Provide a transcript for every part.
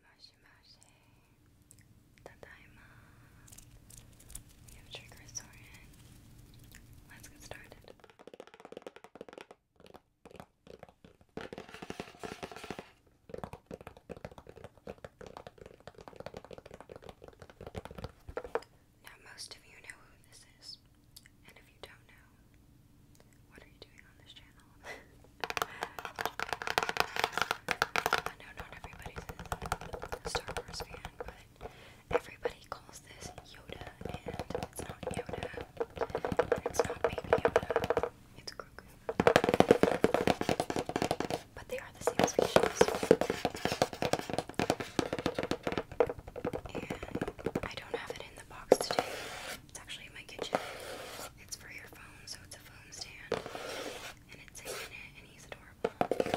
Moshi Moshi, Tadaima, we have Trigger Soren. Let's get started. Now, most of you know who this is, and if you don't know, what are you doing on this channel? I know not everybody's a Star Wars fan, but everybody calls this Yoda, and it's not Yoda, it's not Baby Yoda. It's cuckoo. But they are the same species. I don't have it in the box today. It's actually in my kitchen. It's for your phone, so it's a phone stand. And it's in it, and he's adorable.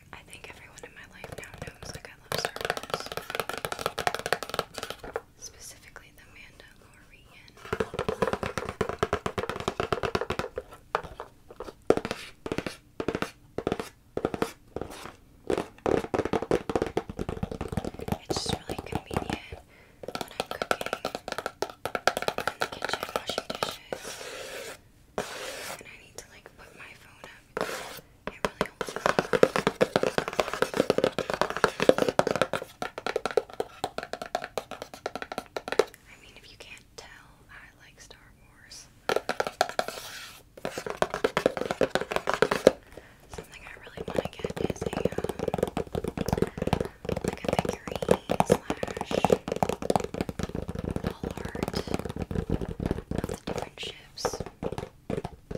I think everyone in my life now knows like I love Star Specifically the Mandalorian. It's just really convenient when I'm cooking in the kitchen, washing dishes. I need to like put my phone up. I mean, if you can't tell, I like Star Wars. Something I really want to get is um, like a figurine slash sample art of the different ships. Because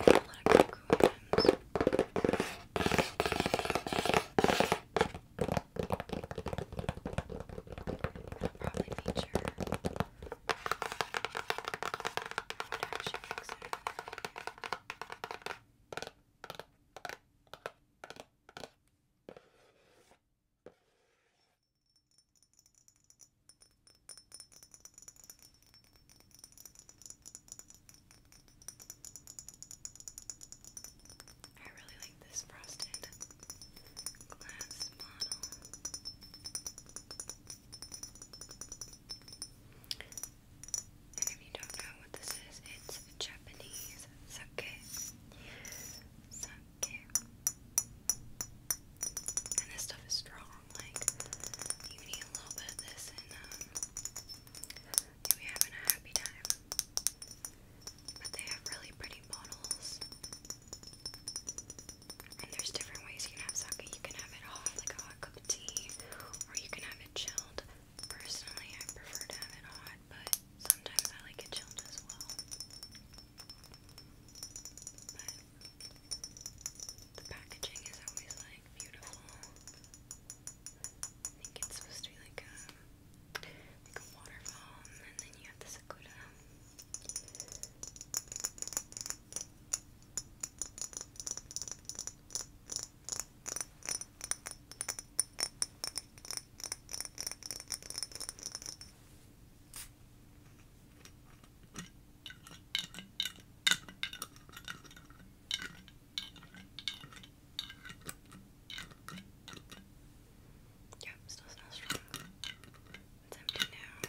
I have a lot of cool items. probably feature I would actually consider I really like this frosted glass model if you don't know what this is, it's Japanese sake. Sake. And this stuff is strong. Like, you can a little bit of this and, um, you having a happy time. But they have really pretty bottles. And there's different ways you can have sake. You can have it hot, like a hot cooked tea, or you can have it chilled. Personally, I prefer to have it hot, but sometimes I like it chilled as well. But the packaging is always like beautiful. I think it's supposed to be like a like a waterfall, and then you have the Sakura. Yep, still smells strong. It's empty now. Okay.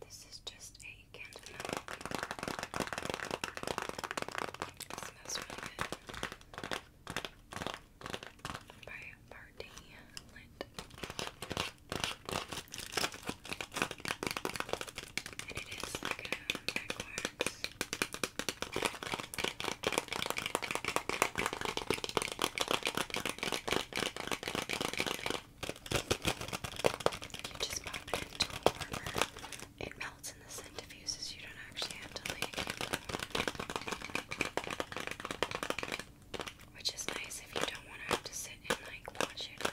This is just a candle. It smells really good. By Party Lit. And it is like a back wax. You just pop it into a It melts and the scent diffuses. You don't actually have to like which is nice if you don't want to have to sit and like watch it or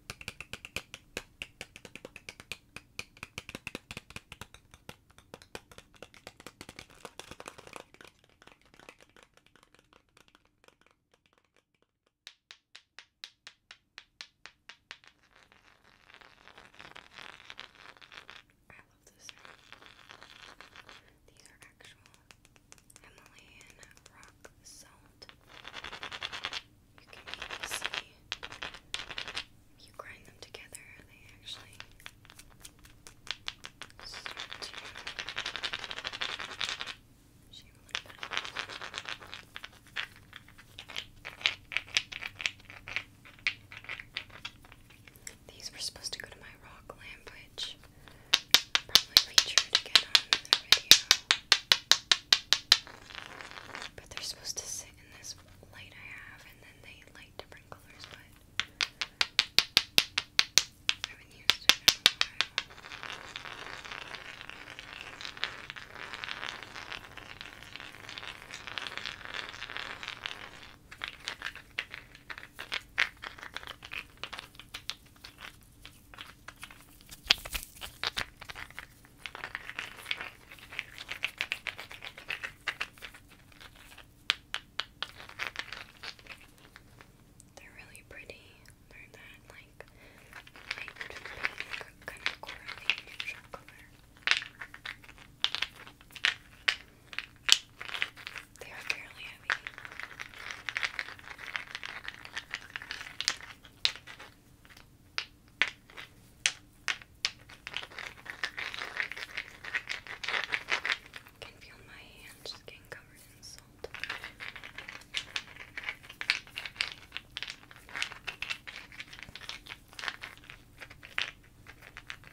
I love this. These are actual Himalayan rock salt. You can see if you grind them together, they actually start to shape a little These were supposed to go to my rock lamp, which probably featured again on another video. But they're supposed to sit in this light I have, and then they light different colors, but I haven't used it in they're really pretty. They're that like light kind of corally neutral color. They are fairly heavy. can feel my hands just getting salt.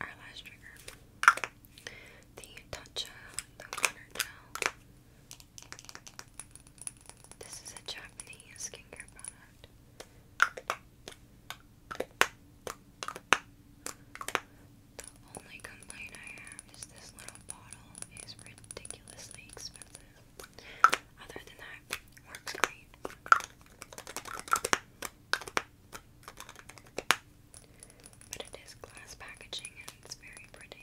Our last trigger the touch of the water gel. This is a Japanese skincare product. The only complaint I have is this little bottle is ridiculously expensive. Other than that, works great. But it is glass packaging and it's very pretty.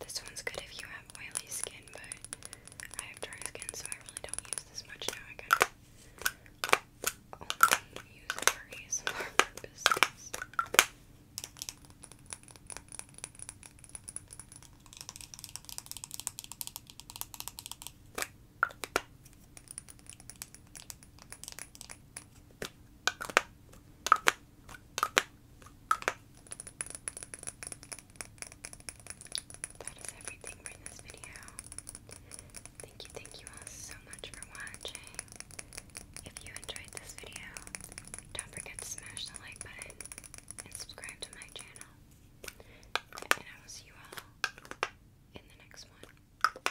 This one's good if you have oily skin, but I have dry skin, so I really don't use this much now. I kind of only use it for purposes. That is everything for this video. Thank you, thank you all so much for watching. If you enjoyed this video, don't forget to smash the like button and subscribe to my channel. And I will see you all in the next one.